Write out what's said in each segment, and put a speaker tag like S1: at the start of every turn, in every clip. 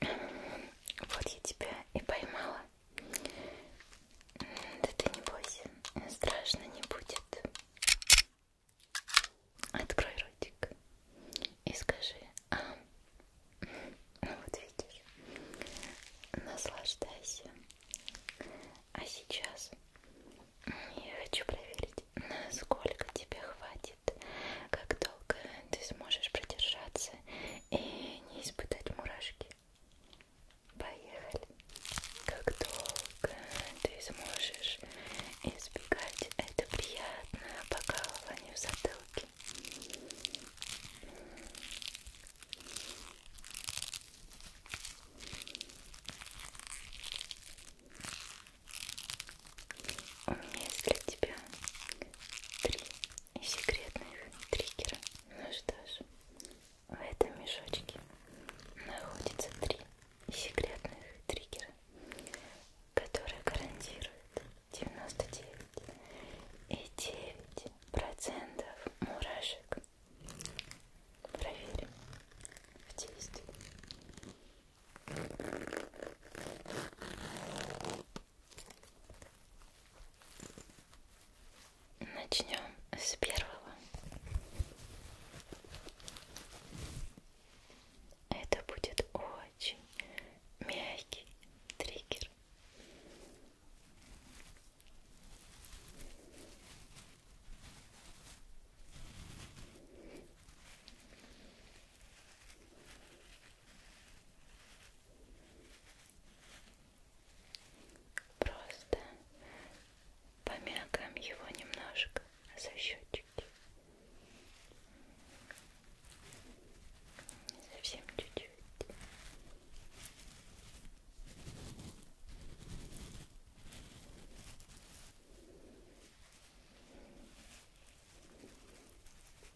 S1: Вот я тебя и поймала. Да ты не бойся, страшно не будет. Открой ротик и скажи, а, ну вот видишь, наслаждайся. А сейчас я хочу проверить, насколько тебе хватит проверит, как долго ты сможешь продержаться и не испытать мурашки. Поехали. Как долго ты сможешь избегать это приятное покалывание в затылке? У меня есть для тебя три секретных триггера. Ну что ж, в этом мешочке находится три секретных триггера, которые гарантируют 99,9% мурашек. Проверим в действии. Начнем с первого. Это будет очень мягкий триггер. Просто помякаем его немножко за щечки. Совсем чуть-чуть.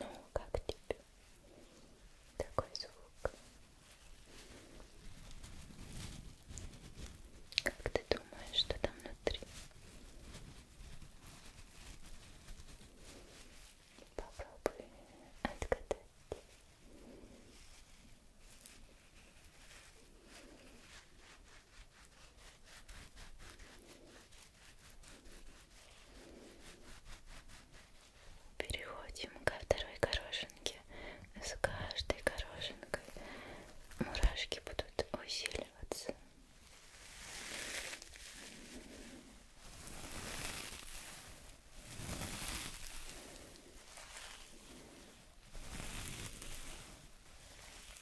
S1: Ну, как тебе такой звук? Как ты думаешь, что там внутри? Попробуй отгадать. Переходим ко второй горошинке. С каждой горошинкой мурашки будут усиливаться.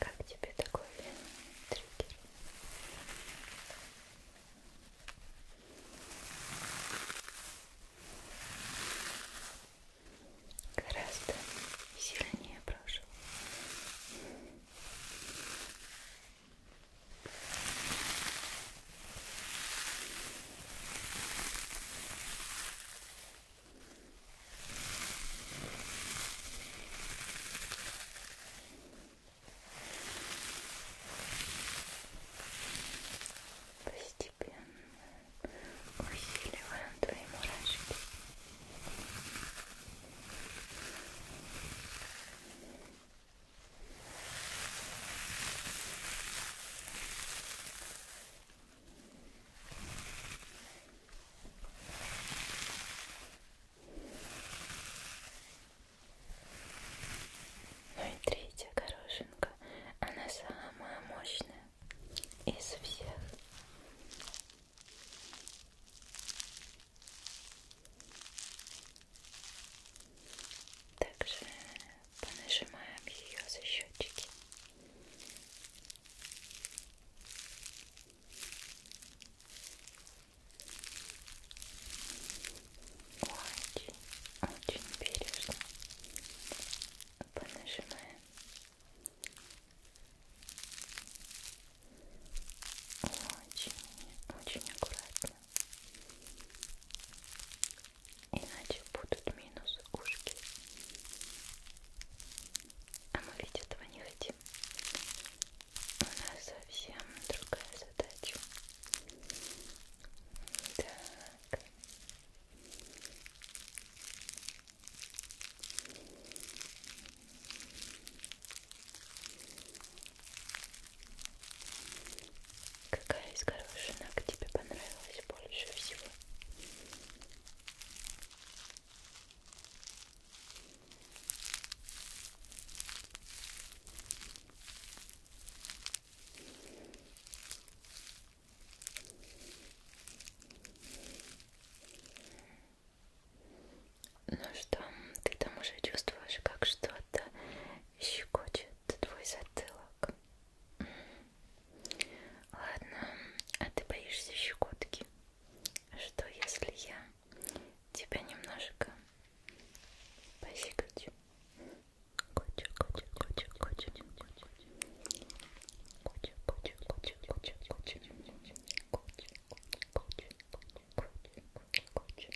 S1: Как тебе такой триггер? Гораздо сильнее прошу. Постепенно усиливаем твои мурашки. Постепенно ну и третья горошинка, она самая мощная из всех. Также понажимаем ее за счетчики. Очень, очень бережно понажимаем. Очень, очень аккуратно. Иначе будут минус ушки. А мы ведь этого не хотим. У нас совсем другая задача. Так. Какая из хороших ног тебе понравилась больше всего? Ну что, ты там уже чувствуешь, как что-то щекочет твой затылок. Ладно, а ты боишься щекотки? Что если я тебя немножко пощекочу? Кочу, кочу, кочу, кочу, кочу, кочу, кочу, кочу, кочу, кочу, кочу, кочу, кочу, кочу, кочу,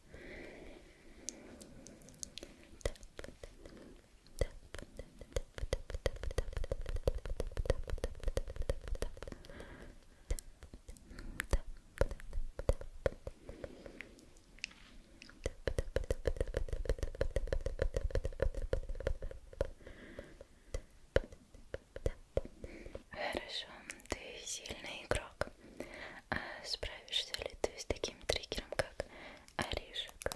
S1: Хорошо, ты сильный игрок. А справишься ли ты с таким триггером, как орешек?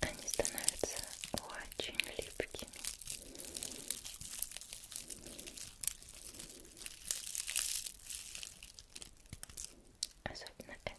S1: Они становятся очень липкими. Особенно это.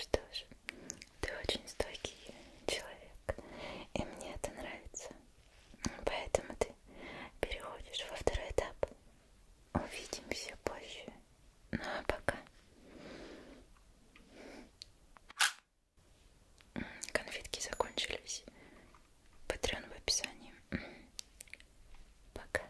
S1: Что ж, ты очень стойкий человек, и мне это нравится. Поэтому ты переходишь во второй этап. Увидимся позже. Ну а пока. Конфетки закончились. Патреон в описании. Пока.